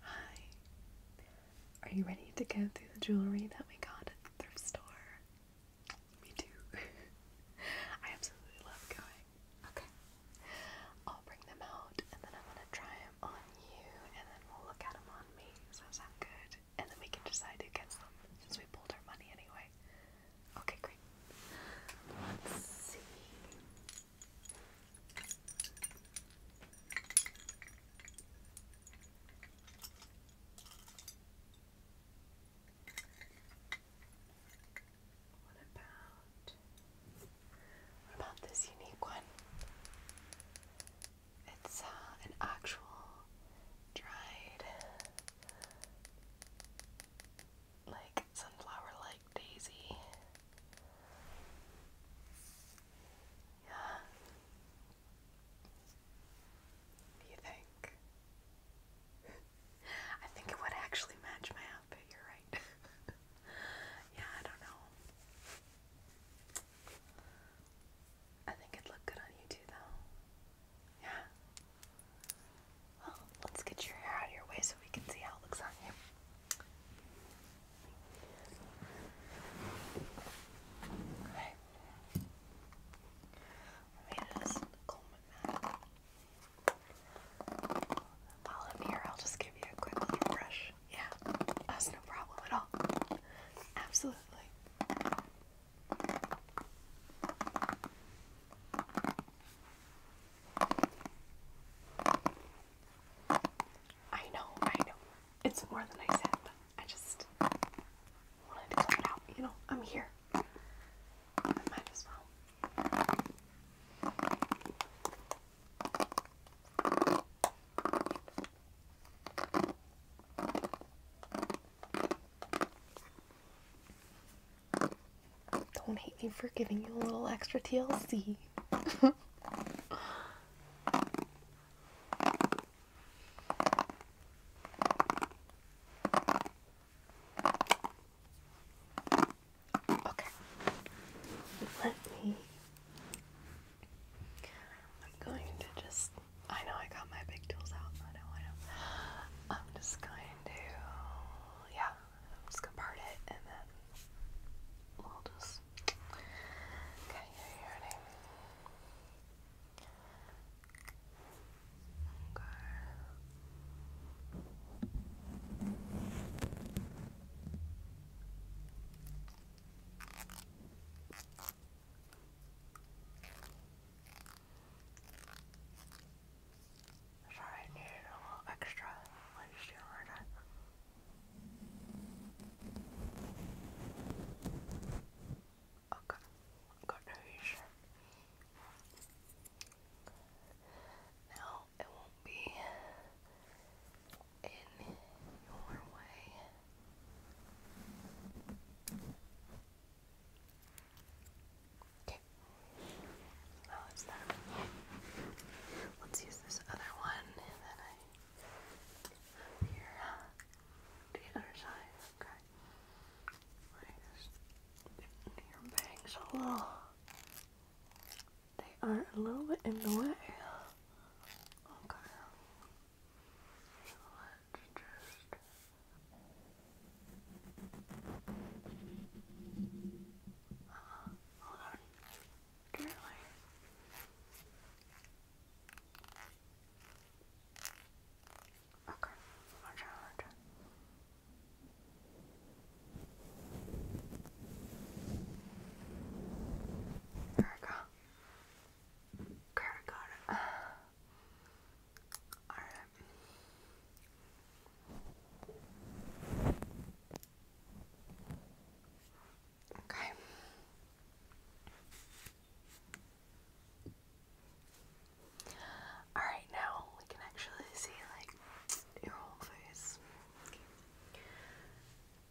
Hi. Are you ready to go through the jewelry that we got at the thrift store? Me too. I absolutely love going. Okay. I'll bring them out and then I'm gonna try them on you and then we'll look at them on me. Does that sound good? and then we can decide who gets them since we pulled our money anyway. Okay, great. Let's see. What about this unique one? It's uh, an actual dried like sunflower like daisy. Yeah. Do you think? I think it would actually match my outfit, you're right. yeah, I don't know. I think it'd look good on you too, though. Yeah. Well, let's get your hair out of your way so we can see how it looks on you. Okay. Let me just comb it While I'm here, I'll just give you a quick little brush. Yeah, that's no problem at all. Absolutely. I know, I know. It's more than I said, but I just wanted to clear out. You know, I'm here. might as well. Don't hate me for giving you a little extra TLC. okay. Let me. I'm going to just I know I got my big tools out. I know, I know. I'm just going to, yeah, I'm just going to part it and then we'll just. Okay, here you ready? Okay. Okay. Sorry, I needed a little extra Okay, got no issue. Now it won't be in your way. Okay. Oh, it's that Let's use this other one and then I here the other side. Okay. Like your bangs a They are a little bit in the way. Okay uh, hold on, gently. Okay, I'll There we go. Kind got it. All right. Okay. All right, now we can actually see like your whole face.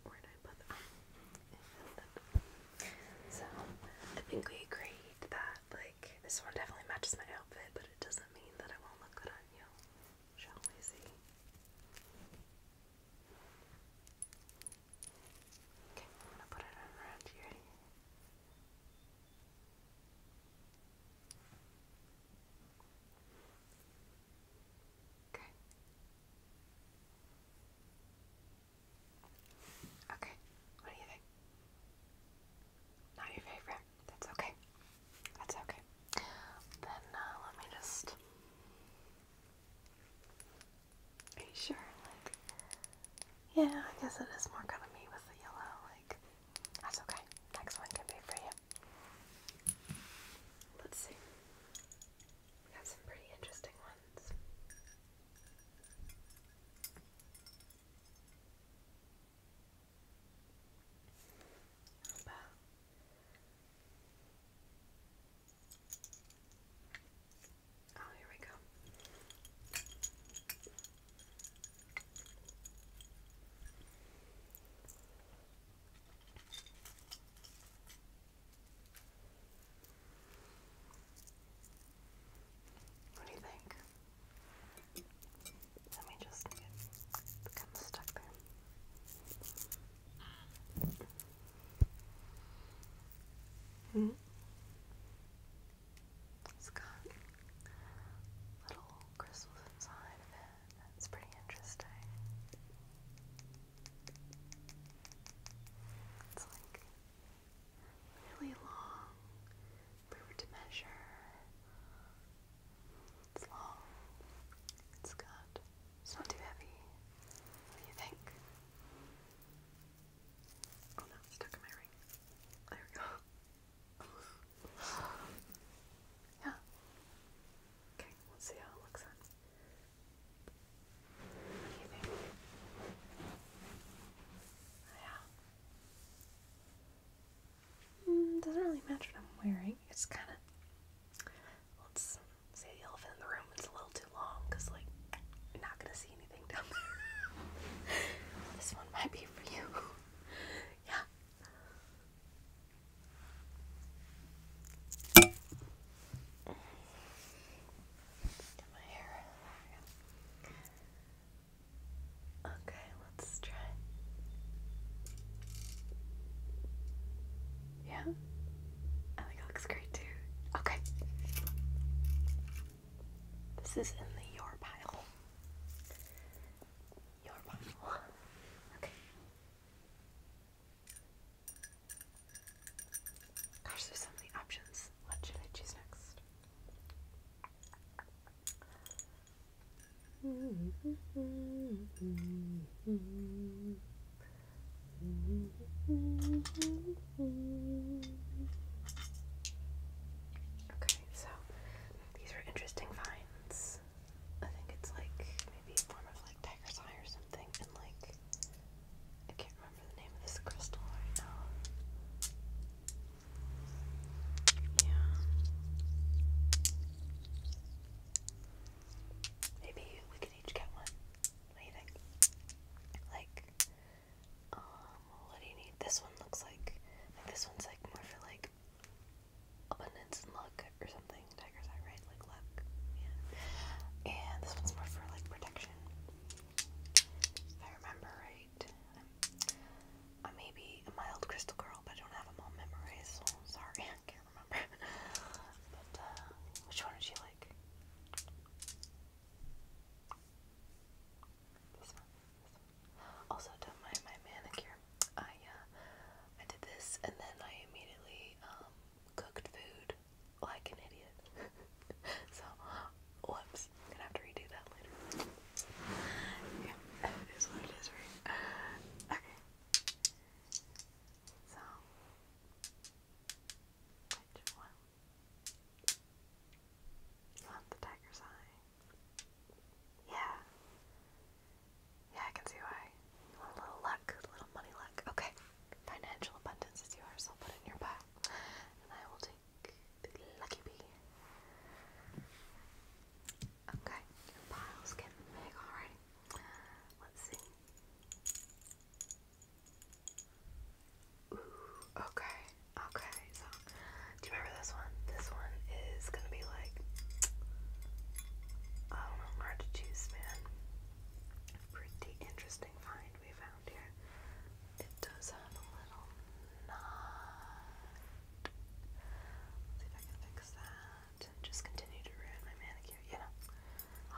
Where did I put that? So I think we agreed that like this one definitely matches my outfit, but it doesn't mean that I won't look good on you. Shall we see? Okay, I'm gonna put it around here. Okay. Okay, what do you think? Not your favorite. That's okay. That's okay. Then uh, let me just. Are you sure? Like, yeah, I guess it is more gonna be with the yellow. Like, that's okay. Next one can be for you. Let's see. We have some pretty interesting ones. How about Oh, here we go. What do you think? Let me just get become stuck there. Hmm? It's got little crystals inside of it. That's pretty interesting. It's like really long. If we were to measure, it's long. It's good. It's not too heavy. What do you think? Oh no, stuck in my ring. There we go. yeah. Okay, let's see how it looks then. Mm, doesn't really match what I'm wearing. It's kind of. Let's say the elephant in the room is a little too long because, like, you're not gonna see anything this one might be for you. yeah. Okay, let's try. Yeah? I oh, think it looks great too. Okay. This is in the your pile. Your pile. Okay. Gosh, there's so many options. What should I choose next? Okay, so these were interesting finds. I think it's like maybe a form of like tiger's eye or something, and like I can't remember the name of this crystal right now. Yeah. Maybe we could each get one. What Like, um, what do you need? This one looks like this one's like more for like abundance and luck or something. Tiger's eye, right? Like luck. Yeah. And this one's more for like protection. I remember right, i may be a mild crystal girl, but I don't have them all memorized, sorry, can't remember. Uh, which one did you like? This one, this one. Also to my manicure. I uh I did this and then I immediately um, cooked food like an idiot. so, whoops, gonna have to redo that later. Yeah, it is what it is, right? Okay. So, which one? Not the tiger's eye. Yeah. Yeah, I can see why a little luck, little money luck. Okay. Financial abundance is yours. I'll put it in your pile. And I will take the lucky bee. Okay. Your pile's getting big already. Let's see. Ooh, okay, okay, so do you remember this one? This one is gonna be like I don't know, hard to choose, man pretty interesting find we found here. It does have a little knot. see if I can fix that. Just continue to ruin my manicure, you know.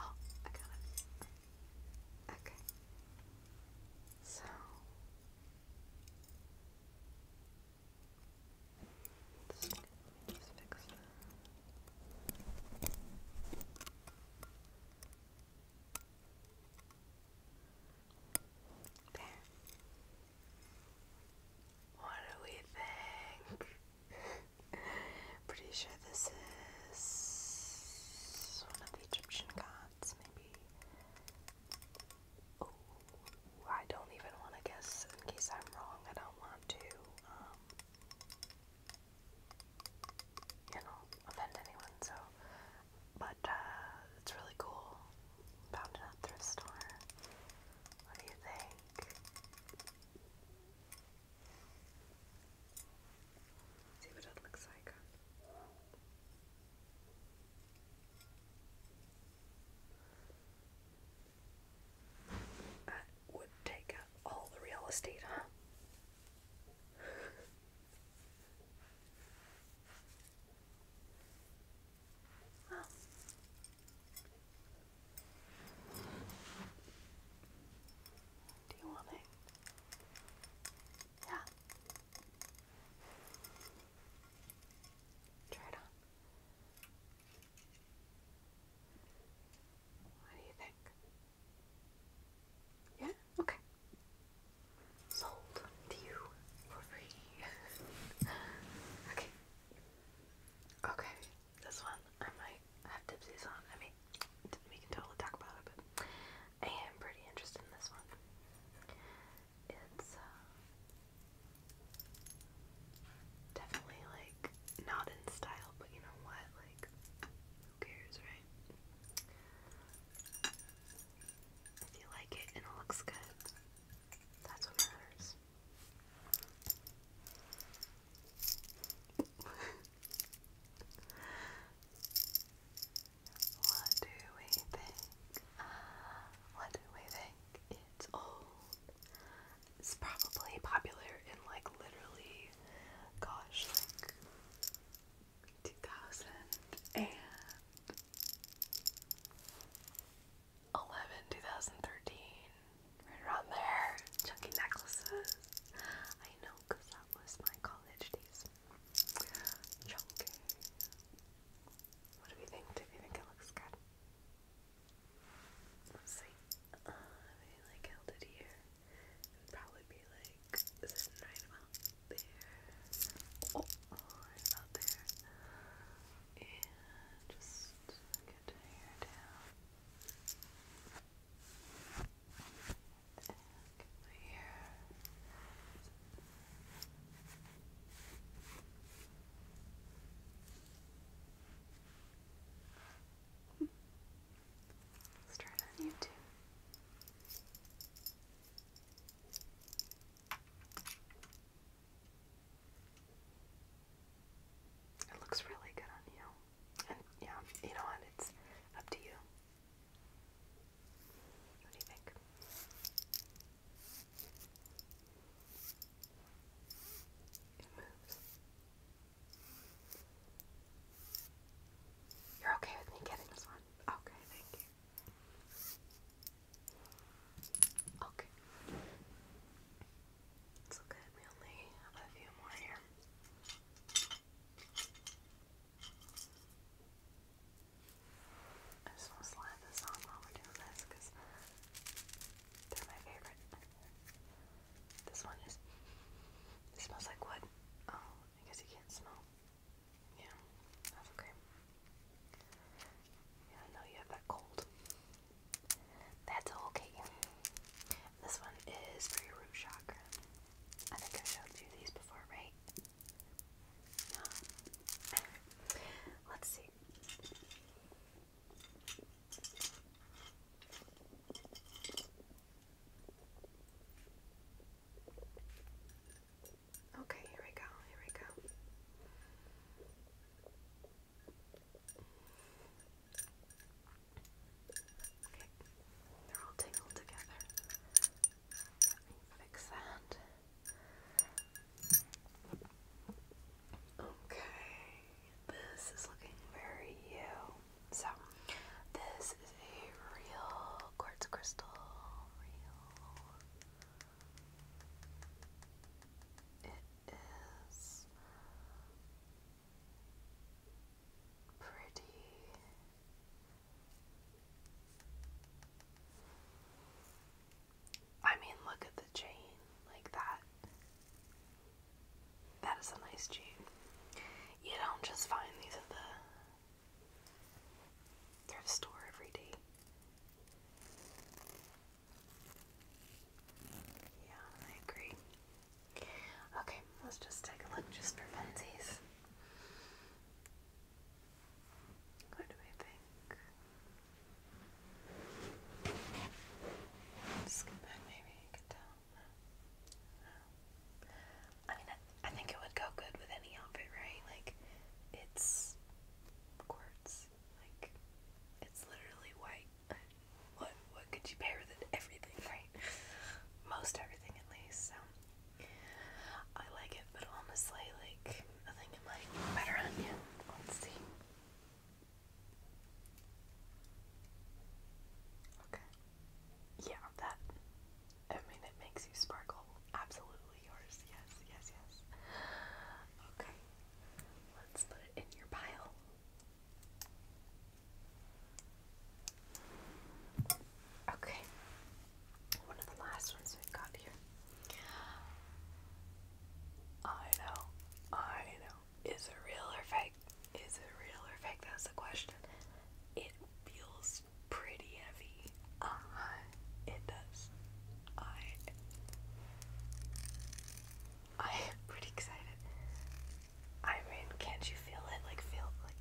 Oh, I got it. Okay. So. Just fix them. There. What do we think? Pretty sure this is one of the Egyptian gods, maybe. Oh, I don't even want to guess in case I'm wrong. I don't want to. Um, you know, offend anyone, so but uh, it's really cool. Found it at thrift store. What do you think? See what it looks like would take up all the real estate, huh? Do you want it? Yeah. Try it on. What do you think? Yeah? Okay. Sold to you for free. okay. Okay. This one I might have dipsies on. I mean, we can totally talk about it, I am pretty interested in this one. It's uh, Definitely like not in style, but you know what? Like, who cares, right? If you like it and it looks good, that's what matters. what do we think? Uh, what do we think? It's old. It's probably popular in like literally, gosh, like 2000 2013, right around there. Chunky necklaces. I know because that was my college days. Chunky. What do we think? Do we think it looks good? It's like, uh, like held it here. It'd probably be like, is right about there? Oh, right about there. And just get the hair down. get the hair let it on YouTube. It looks really good on you. And yeah, you know what? It's up to you. What do you think? It moves. You're okay with me getting this one? Okay, thank you. Okay. It's all We only have a few more here. I just want to slide this on while we're doing this because they're my favorite. This one is. It smells like wood. Oh, I guess you can't smell. Yeah, okay. Yeah, I know you have that cold. That's okay. This one is for root chakra. I think i showed you these before, right? Let's see. Okay, here we go, here we go. they're all tangled together. Let me fix that. Okay. This is looking very you. So, this is a real quartz crystal. It is pretty. I mean, look at the chain like that. That is a nice chain. You don't just find these at the thrift store every day. Yeah, I agree. Okay, let's just take a look just for funsies. What do I think? Scoot back, maybe you can tell. I mean, I, think it would go good with any outfit, right? Like, it's quartz. Like, it's literally white. What what could you pair with it? Everything, right? Most everything, at least. So, I like it, but honestly, like, I think it might better on you. Let's see. Okay. Yeah, that. I mean, it makes you sparkle. Absolutely yours. Yes, yes, yes. Okay. Let's put it in your pile. Okay. One of the last ones we got here. I know, I know. Is it real or fake? Is it real or fake? That's the question. It feels pretty heavy. Uh It does. I. I am pretty excited. I mean, can't you feel it? Like, feel like.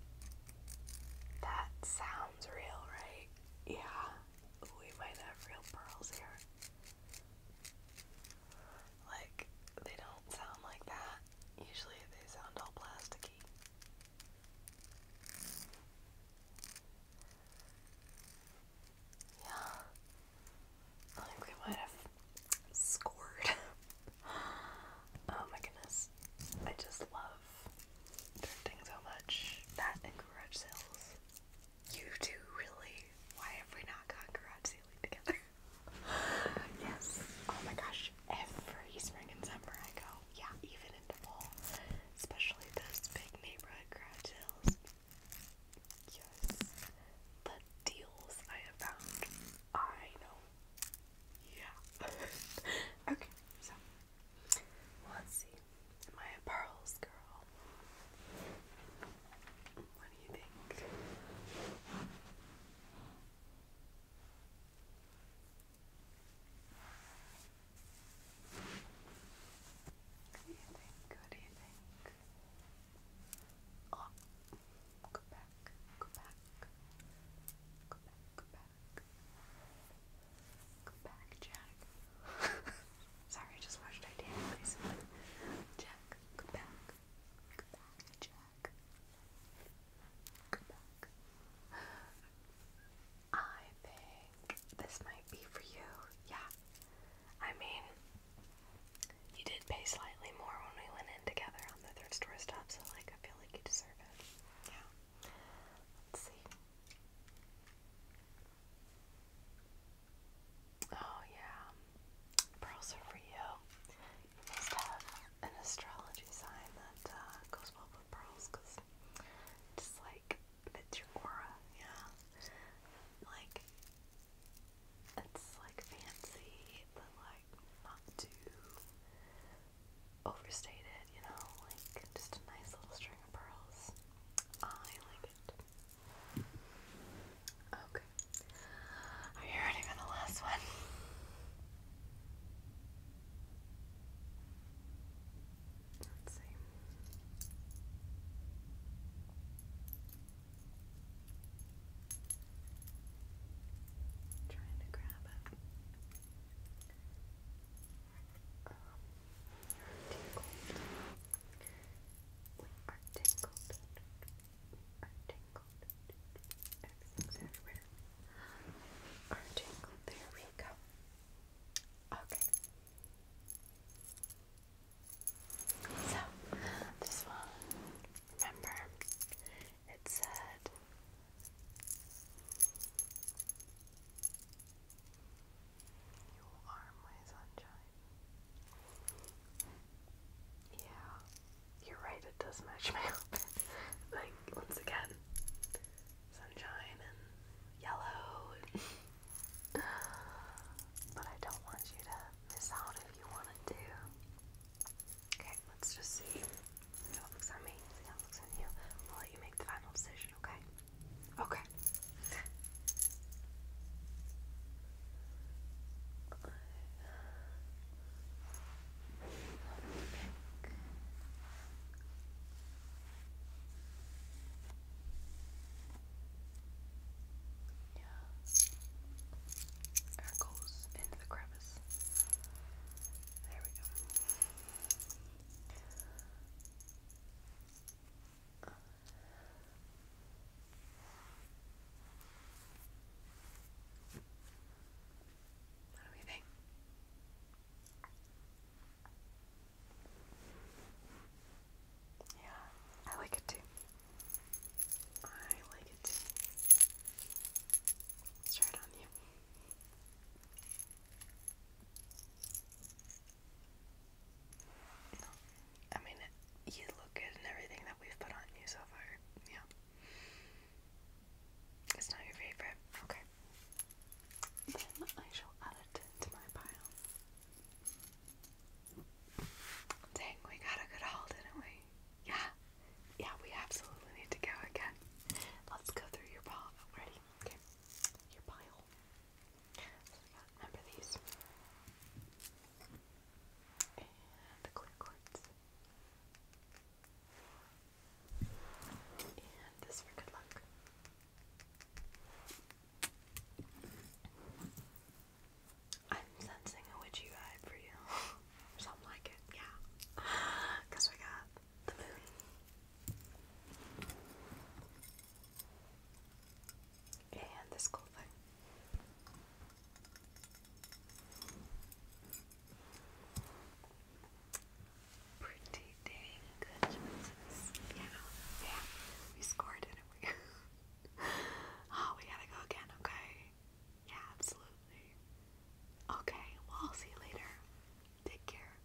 That sounds real, right? Yeah. We might have real pearls here. Like, they don't sound like that. Usually they sound all plasticky. Yeah. I think we might have scored. oh my goodness. I just love drifting so much. That and sales. You two really? Why have we not gone garage sailing together? yes. Oh my gosh. Every spring and summer I go. Yeah, even in the fall. Especially those big neighborhood garage sales. Yes. The deals I have found. I know. Yeah. okay, so let's see. My pearls, girl. What do you think? What do you think? What do you think? Oh, go back, go back, go back, go back, go back, Jack. Sorry, I just watched Titanic recently. Jack, come back. Come back, Jack. Come back. I think this might be for you. Yeah. I mean, you did pay slightly more when we went in together on the third store stuff, so like I feel like you deserve it. Yeah. Let's see. Oh, yeah. Pearls are for you. You must have an astrology sign that uh, goes well with pearls because just like fits your aura, yeah. Like, it's like fancy, but like not too overstated, you know? Like, just a nice little string of pearls. I like it. Okay. Are you ready for the last one? Let's see. trying to grab it um, tingled. We are tingled. are tingled. Everything's everywhere. Are tingled. There we go. Okay. So, this one, remember, it said you are my sunshine. Yeah, you're right, it does match my outfit. like, once again, sunshine and yellow. but I don't want you to miss out if you wanted to. Okay, let's just see looks on me, looks on you. let you make the final decision, okay? Okay. Yeah. Air goes into the crevice. There we go. Yeah, I like it too. I like it too. Let's try it on you. No. I mean, you look good in everything that we've put on you so far. Yeah. It's not your favorite. Okay. Then I shall add it to my pile. Dang, we got a good haul, didn't we? Yeah. Yeah, we absolutely need to go again. Let's go through your pile. Ready? Okay. Your pile. I remember these. And the clear quartz. And this for good luck. I'm sensing a witchy vibe for you. or something like it, yeah. we got the moon. And this cool thing. Pretty dang good Yeah, yeah. We scored, didn't we? oh, we gotta go again, okay? Yeah, absolutely. Okay, well, I'll see you later. Take care.